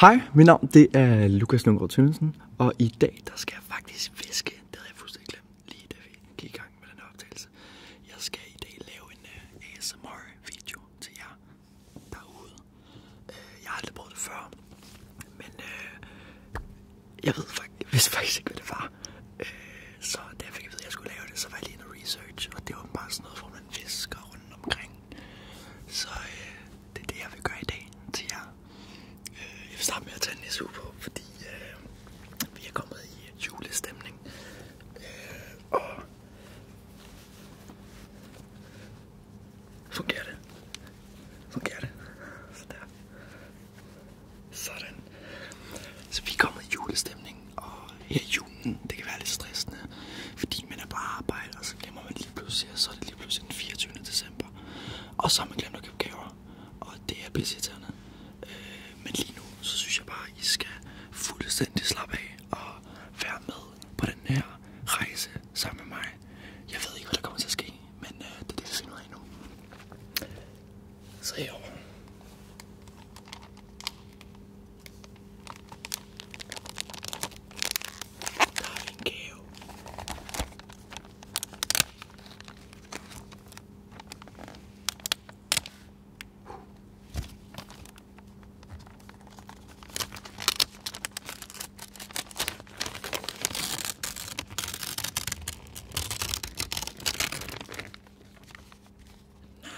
Hej, mit navn det er Lukas Lundgaard Tønnesen, og i dag der skal jeg faktisk fiske. Det havde jeg fuldstændig glemt, lige da vi gik i gang med den optagelse. Jeg skal i dag lave en uh, øh, ASMR-video til jer derude. Uh, jeg har aldrig prøvet det før, men uh, jeg ved faktisk, hvis faktisk ikke, hvad det var. Uh, så da jeg fik at vide, at jeg skulle lave det, så var jeg lige en research, og det var bare sådan noget, hvor man fisker rundt omkring så øh, det er det, jeg vil gøre i dag til jer. Øh, jeg vil starte med at tage en på, fordi øh, vi er kommet i julestemning. Øh, og fungerer det? Fungerer det? der. Sådan. Så vi er kommet i julestemning, og her jul aftenen. Mm, det kan være lidt stressende, fordi man er på arbejde, og så glemmer man lige pludselig, og så er det lige pludselig den 24. december. Og så har man glemt at købe gaver, og det er pisseirriterende. Øh, men lige nu, så synes jeg bare, at I skal fuldstændig slappe af og være med på den her rejse sammen med mig. Jeg ved ikke, hvad der kommer til at ske, men øh, det er det, vi finder ud af nu. Så herovre. Der er en gave. Nej.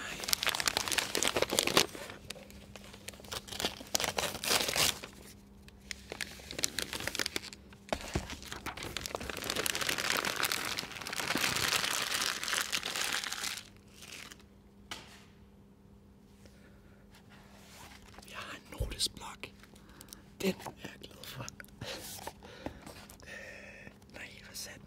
Jeg har en notesblok. Den er jeg glad for. øh, nej, hvad sagde den?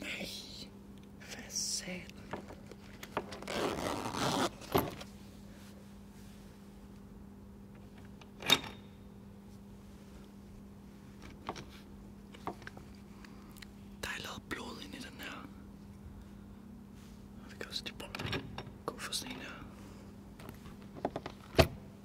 Nej, hvad sagde Der er lavet blod ind i den her. Og vi kan også lige prøve at gå for sådan en her.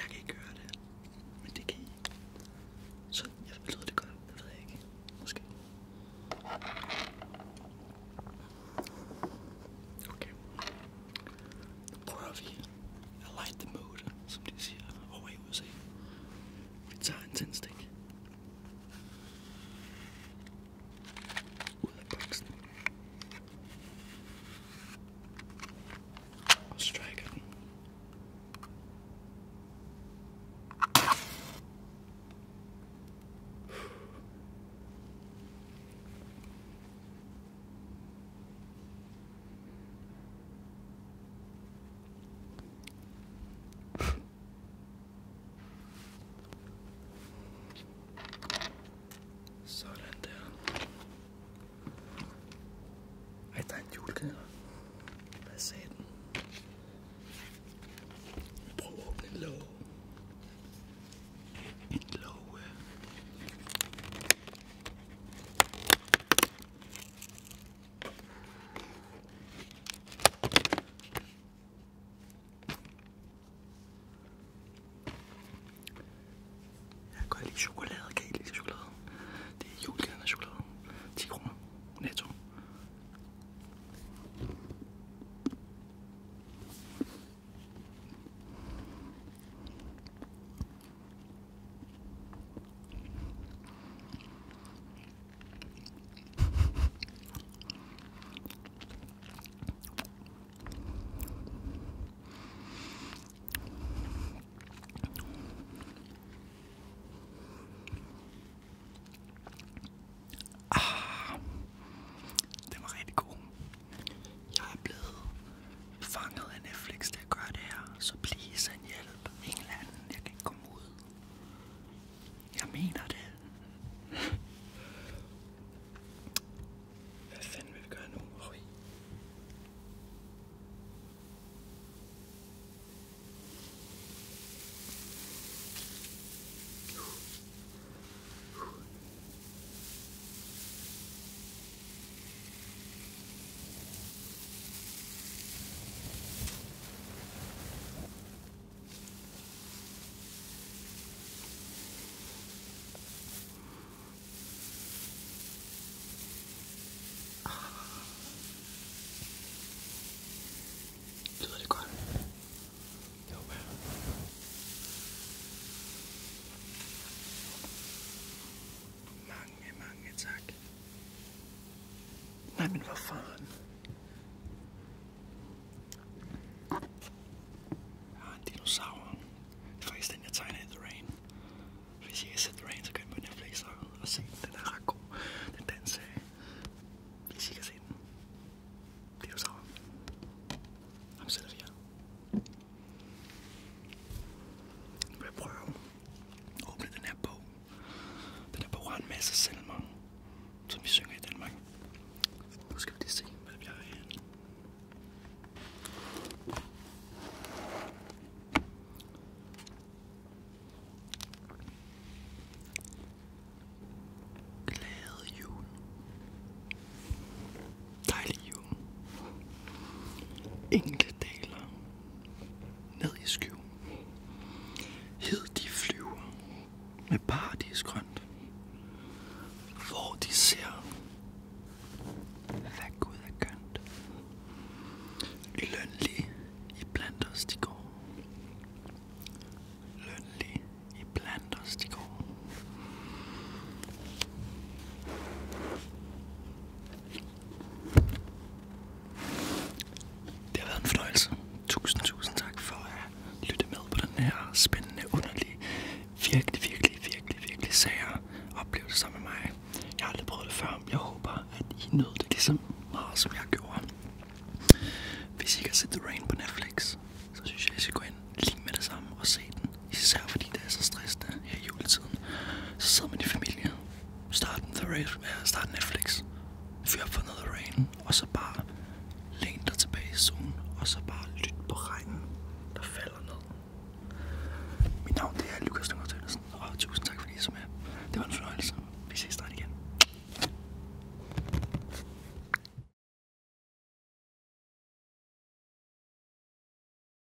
Jeg kan ikke høre det, men det kan I. Så jeg lyder det godt, det ved jeg ikke. Måske. Okay. Nu prøver vi at light the mood, som de siger over i USA. Vi tager en tændstik. Ooh, that bugs strike him. Sådan der. Ej, der er en julekæder. Hvad sagde den? Prøv at åbne en låg. En låg. Jeg kan godt lide chokolade, kan I lide chokolade? Det er julekalender chokolade. 10 kroner. Netto. Ah, den var rigtig god. Jeg er blevet fanget af Netflix, der gør det her, så please en hjælp. En eller anden, jeg kan ikke komme ud. Jeg mener det. Hvad fanden vil vi gøre nu? Roy? Lyder det godt? Det håber jeg. Mange, mange tak. Nej, men hvor fanden? Jeg har en dinosaur. Det The Rain. Hvis I ikke har set The Rain, så kan I på Netflix og se den. Den er ret god. Den danser. Øh, hvis I kan se den. prøve at åbne den her den er på en masse salmer, som vi synger i Danmark. Nu skal vi lige se, hvad vi har herinde. Glade jul. Dejlig jul. Enkelte ned i skyv. Hed de flyver med paradisgrønt. Hvor de ser, hvad Gud er kønt. Lønlig i blandt os de går. Lønlig i blandt de går. Det har været en fornøjelse. Tusind, tusind tak for at lytte med på den her spændende, underlige, virkelig, virkelig, virkelig, virkelig sager oplevelse sammen med mig. Jeg har aldrig prøvet det før. Jeg håber, at I nød det lige så meget, som jeg gjorde. Hvis I ikke har set The Rain på Netflix, så synes jeg, at I skal gå ind lige med det samme og se den. Især fordi det er så stressende her i juletiden. Så sidder man i familie Start, the race, start Netflix. Fyr op for noget rain. Og så bare læn dig tilbage i solen. Og så bare lyt på regnen, der falder ned. Mit navn det er Lukas Løngaard Tønnesen. Og tusind tak fordi I så med. Det var en fornøjelse. Vi ses snart igen.